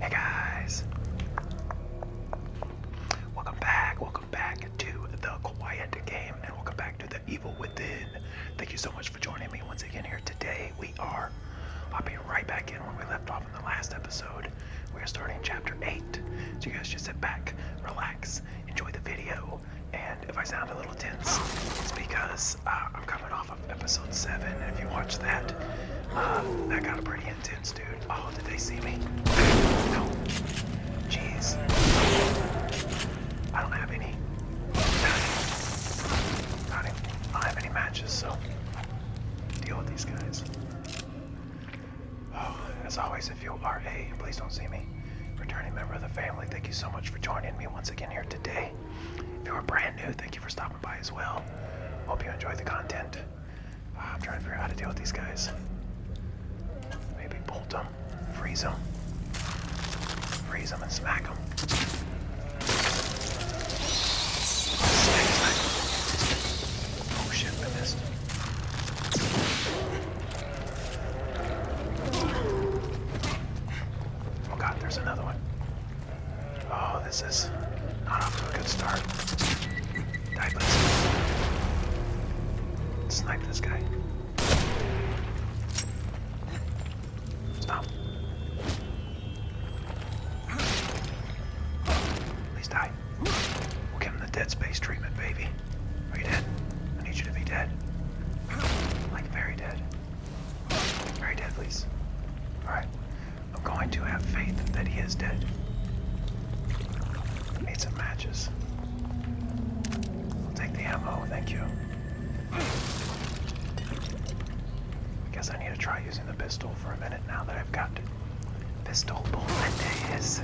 Hey guys, welcome back, welcome back to the Quiet Game, and welcome back to the Evil Within. Thank you so much for joining me once again here today. We are I'll be right back in where we left off in the last episode. We are starting chapter 8, so you guys just sit back, relax, enjoy the video, and if I sound a little tense, it's because uh, I'm coming off of episode 7, and if you watch that, uh, that got a pretty intense Oh, did they see me? No. Jeez. I don't have any. Not even, I don't have any matches, so deal with these guys. Oh, as always, if you are a, please don't see me, returning member of the family, thank you so much for joining me once again here today. If you are brand new, thank you for stopping by as well. Hope you enjoy the content. Ah, I'm trying to figure out how to deal with these guys. Maybe bolt them, freeze them, freeze them and smack them. Oh shit, With this. Oh god, there's another one. Oh, this is not off to a good start. Die, please. Snipe this guy. Stop. Please die. We'll give him the dead space treatment, baby. Are you dead? I need you to be dead. Like very dead. Very dead, please. Alright. I'm going to have faith that he is dead. Need some matches. I'll take the ammo, thank you. I guess I need to try using the pistol for a minute now that I've got pistol bullets.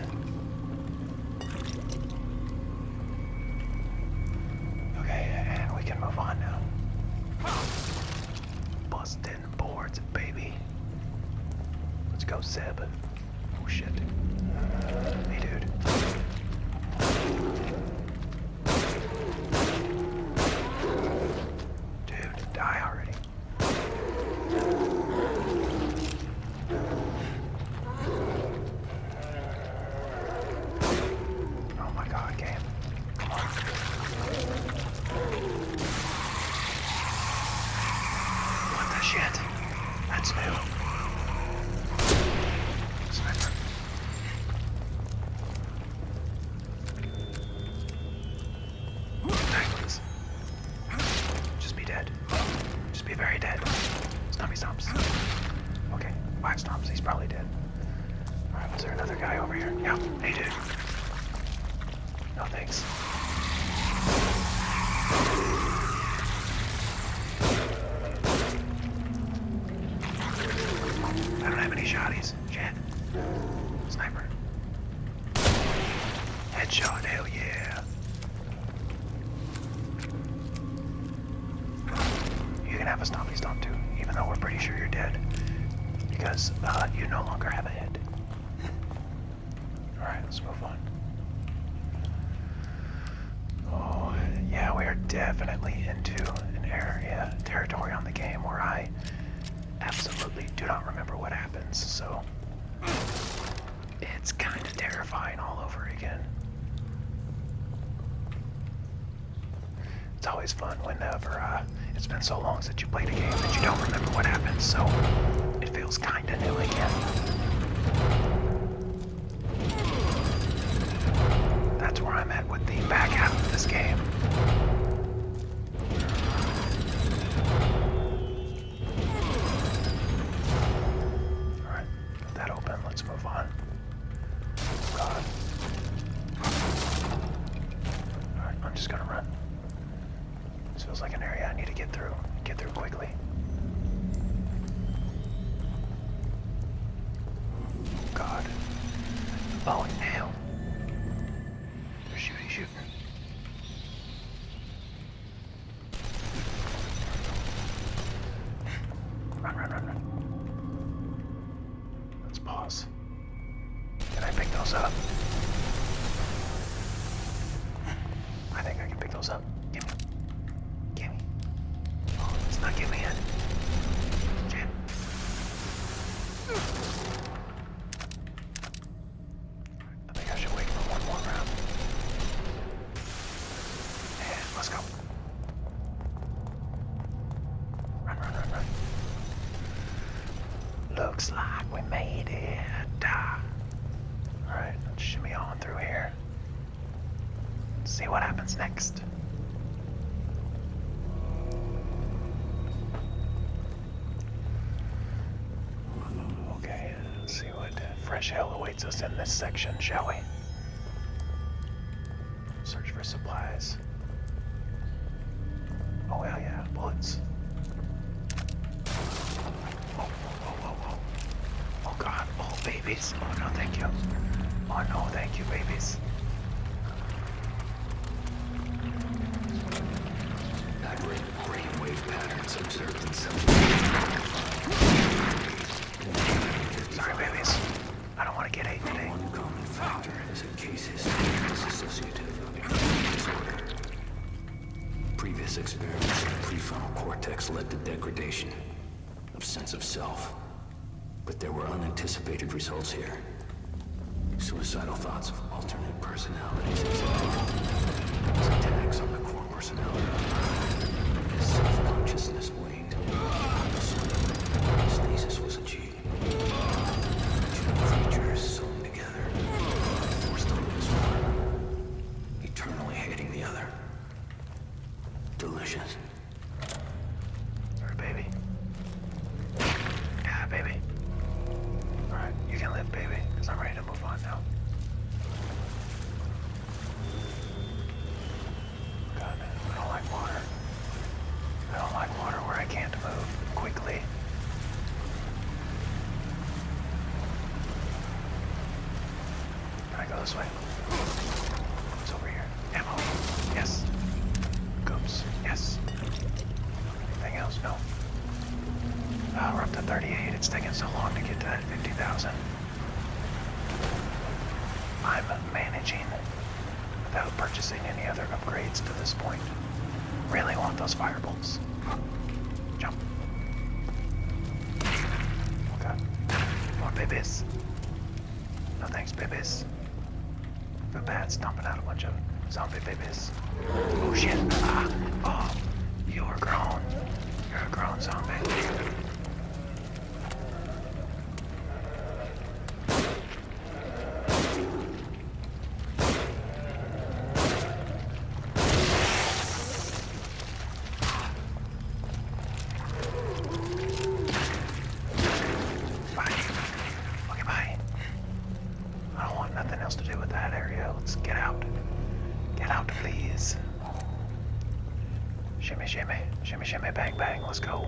Okay, and we can move on now. Busting boards, baby. Let's go, Zeb. Oh shit. Hey dude. Dude, die already. Oh my god, game. Come on. What the shit? That's new. Sniper. Just be dead. Just be very dead. It's Stomp, stomps. Okay, wax stomps. He's probably dead. Alright, was there another guy over here? Yeah, hey did. No thanks. I don't have any shotties. Shit. Sniper. Headshot, hell yeah. You can have a stompy stomp too, even though we're pretty sure you're dead. Because uh, you no longer have a head. Alright, let's move on. Oh, yeah, we are definitely into an area, territory on the game where I absolutely do not remember what happens, so it's kind of terrifying all over again. It's always fun whenever uh, it's been so long since you played a game that you don't remember what happens, so it that's where I'm at with the back out of this game. Alright, get that open, let's move on. Alright, I'm just gonna run. This feels like an area I need to get through. Get through quickly. God. Oh, hell. They're shooting, shooting. Run, run, run, run. Let's pause. Can I pick those up? I think I can pick those up up. Give me. Give oh, not giving me it. Shit. I think I should wait for one more round. let's go. Run, run, run, run. Looks like we made it. Alright, let's shimmy on through here. see what happens next. Okay, see what fresh hell awaits us in this section, shall we? Search for supplies. Oh, hell yeah, bullets. Oh, oh, oh, oh, oh. Oh god. Oh, babies. Oh no, thank you. Oh no, thank you, babies. Aberrant brainwave patterns observed in some. Sorry, babies. I don't want to get ate today. One common factor is a case history is associative of disorder. Previous experiments in the prefrontal cortex led to degradation of sense of self. But there were unanticipated results here. Suicidal thoughts of alternate personalities attacks on the core personality. self-consciousness waned, stasis was achieved. Two creatures sewn together, forced to live eternally hating the other. Delicious. Alright, baby. Yeah, baby. Alright, you can live, baby, because I'm ready to move on now. God, I don't like water. I don't like water where I can't move quickly. Gotta go this way. It's over here. Ammo. Yes. Goops. Yes. Anything else? No. Ah, we're up to 38. It's taking so long to get to that 50,000. I'm managing without purchasing any other upgrades to this point. Really want those firebolts. Jump. Okay. More babies. No thanks, babies. Feel bad stomping out a bunch of zombie babies. Oh shit. Ah. Oh. You are grown. You're a grown zombie. Bye. Okay, bye. I don't want nothing else to do with that area. Let's get out. Get out, please. Shimmy, shimmy. Shimmy, shimmy, bang, bang. Let's go.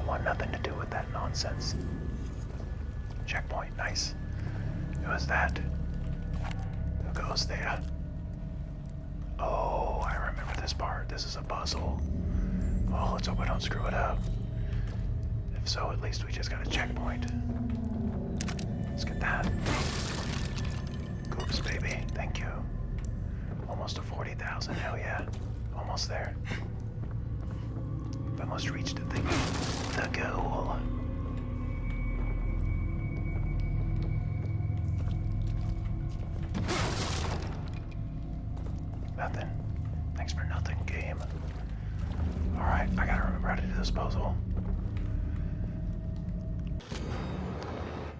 I want nothing to do with that nonsense. Checkpoint, nice. Who is that? Who goes there? Oh, I remember this part. This is a puzzle. Oh, let's hope I don't screw it up. If so, at least we just got a checkpoint. Let's get that. Goops, baby. Thank you. Almost to 40,000. Hell yeah. Almost there i must reach the thing, the goal. Nothing. Thanks for nothing, game. Alright, I gotta remember how to do this puzzle.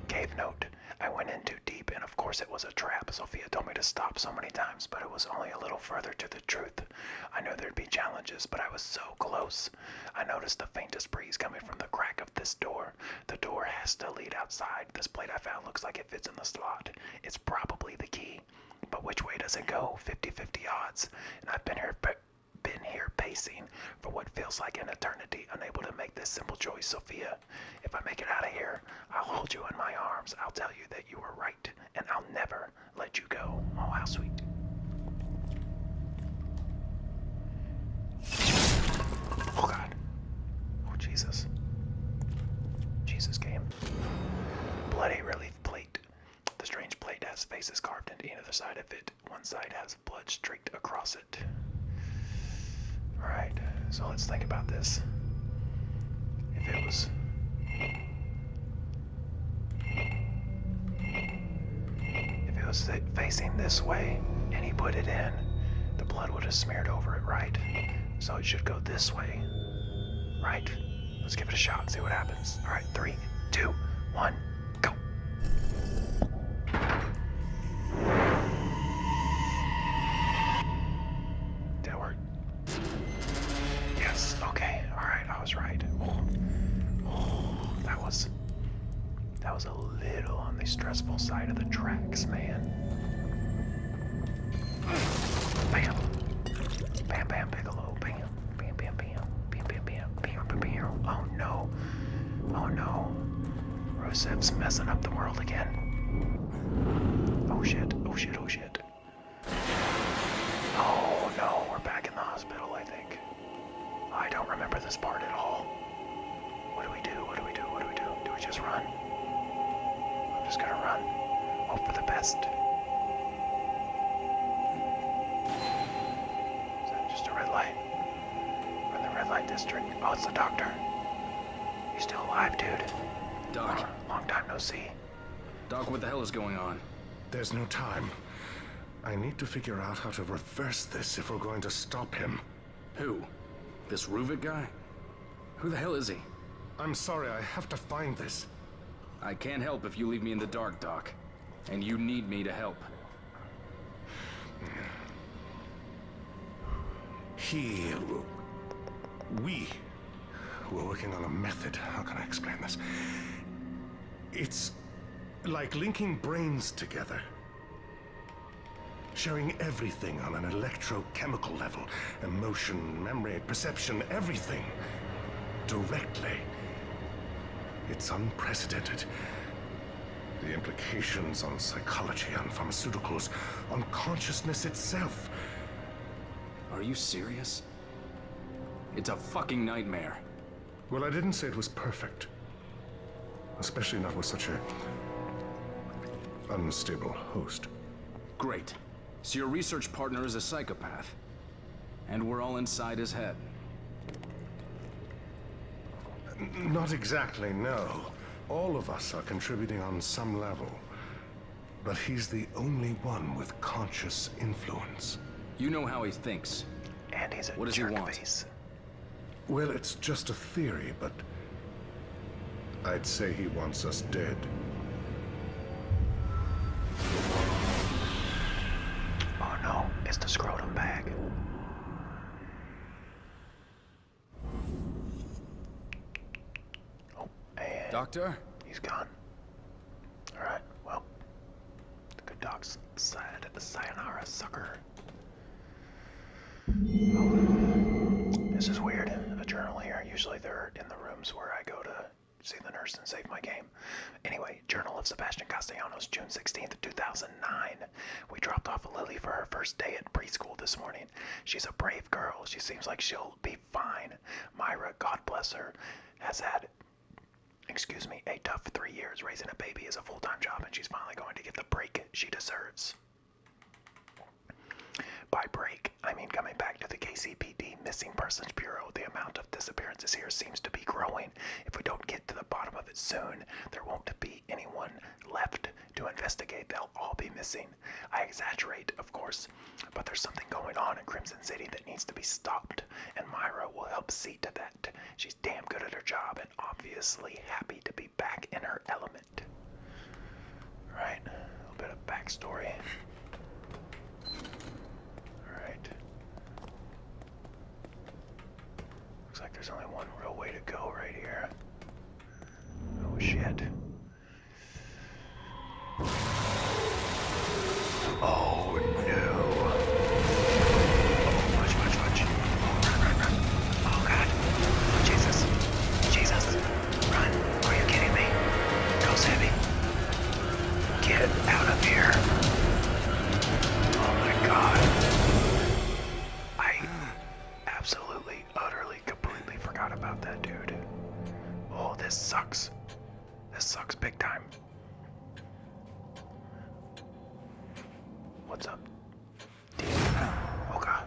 Cave note. I went in too deep, and of course it was a trap. Sophia told me to stop so many times, but it was only a little further to the truth. I knew there'd be challenges, but I was so close. I noticed the faintest breeze coming from the crack of this door. The door has to lead outside. This plate I found looks like it fits in the slot. It's probably the key. But which way does it go? 50-50 odds. And I've been here been here pacing for what feels like an eternity, unable to make this simple choice, Sophia. If I make it out of here, I'll hold you in my arms. I'll tell you that you were right, and I'll never, let you go. Oh, how sweet. Oh, God. Oh, Jesus. Jesus came. Bloody relief plate. The strange plate has faces carved into either side of it. One side has blood streaked across it. Alright, so let's think about this. If it was if it was facing this way and he put it in, the blood would have smeared over it, right? So it should go this way, right? Let's give it a shot, see what happens. All right, three, two, one, go. Did Yes, okay, all right. I was right. Oh. that was that was a little on the stressful side of the tracks, man. Bam. Bam bam Bam. Bam bam bam. Bam bam bam. Bam bam Oh no. Oh no. Rusev's messing up the world again. Oh shit. Oh shit. Oh shit. Oh no, we're back in the hospital, I think. I don't remember this part at all. What do we do? What do we do? What do we do? Do we just run? I'm just gonna run. Hope for the best. Is that just a red light? We're in the red light district. Oh, it's the doctor. He's still alive, dude. Doc. Long, long time no see. Doc, what the hell is going on? There's no time. I need to figure out how to reverse this if we're going to stop him. Who? This Ruvik guy? Who the hell is he? I'm sorry, I have to find this. I can't help if you leave me in the dark, Doc. And you need me to help. He... We... We're working on a method. How can I explain this? It's like linking brains together. sharing everything on an electrochemical level. Emotion, memory, perception, everything. Directly. It's unprecedented. The implications on psychology, on pharmaceuticals, on consciousness itself. Are you serious? It's a fucking nightmare. Well, I didn't say it was perfect. Especially not with such a... unstable host. Great. So your research partner is a psychopath. And we're all inside his head. not exactly, no. All of us are contributing on some level. But he's the only one with conscious influence. You know how he thinks. And he's what does he want? Well, it's just a theory, but I'd say he wants us dead. Oh no, it's the scrotum bag. Oh, and Doctor? He's gone. Alright, well, the good doc's said, sayonara, sucker. this is weird, a journal here. Usually they're in the rooms where I go to see the nurse and save my game. Anyway, Journal of Sebastian Castellanos, June 16th, 2009. We dropped off Lily for her first day at preschool this morning. She's a brave girl. She seems like she'll be fine. Myra, God bless her, has had excuse me, a tough three years raising a baby is a full time job, and she's finally going to get the break she deserves. By break, I mean coming back to the KCPD Missing Persons Bureau, the amount of disappearances here seems to be growing. If we don't get to the bottom of it soon, there won't be anyone left to investigate. They'll all be missing. I exaggerate, of course, but there's something going on in Crimson City that needs to be stopped, and Myra will help see to that. She's damn good at her job and obviously happy to be back in her element. Alright, a little bit of backstory. Alright. Looks like there's only one real way to go right here. Oh shit. Oh no. Oh, watch, watch, Oh, run, run, run. Oh god. Jesus. Jesus. Run. Are you kidding me? Go, Sammy. Get out of here. Oh my god. I absolutely, utterly, completely forgot about that dude. Oh, this sucks. This sucks big time. What's up? Oh god.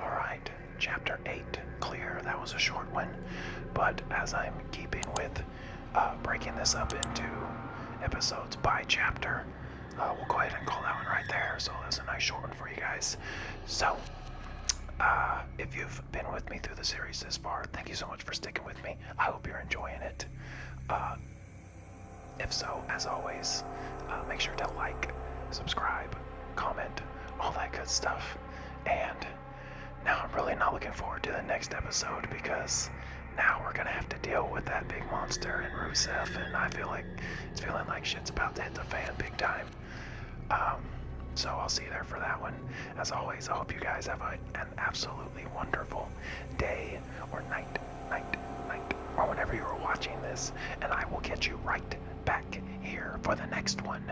All right, chapter 8 clear. That was a short one, but as I'm keeping with uh, breaking this up into episodes by chapter, uh, we'll go ahead and call that one right there. So that's a nice short one for you guys. So uh, if you've been with me through the series this far, thank you so much for sticking with me. I hope you're enjoying it. Uh, if so, as always, make sure to like, subscribe, comment, all that good stuff. And now I'm really not looking forward to the next episode because now we're gonna have to deal with that big monster and Rusev, and I feel like it's feeling like shit's about to hit the fan big time. Um, so I'll see you there for that one. As always, I hope you guys have an absolutely wonderful day or night, night, night, or whenever you are watching this. And I will get you right back here for the next one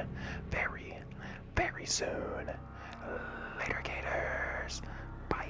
very, very soon. Later, Gators. bye.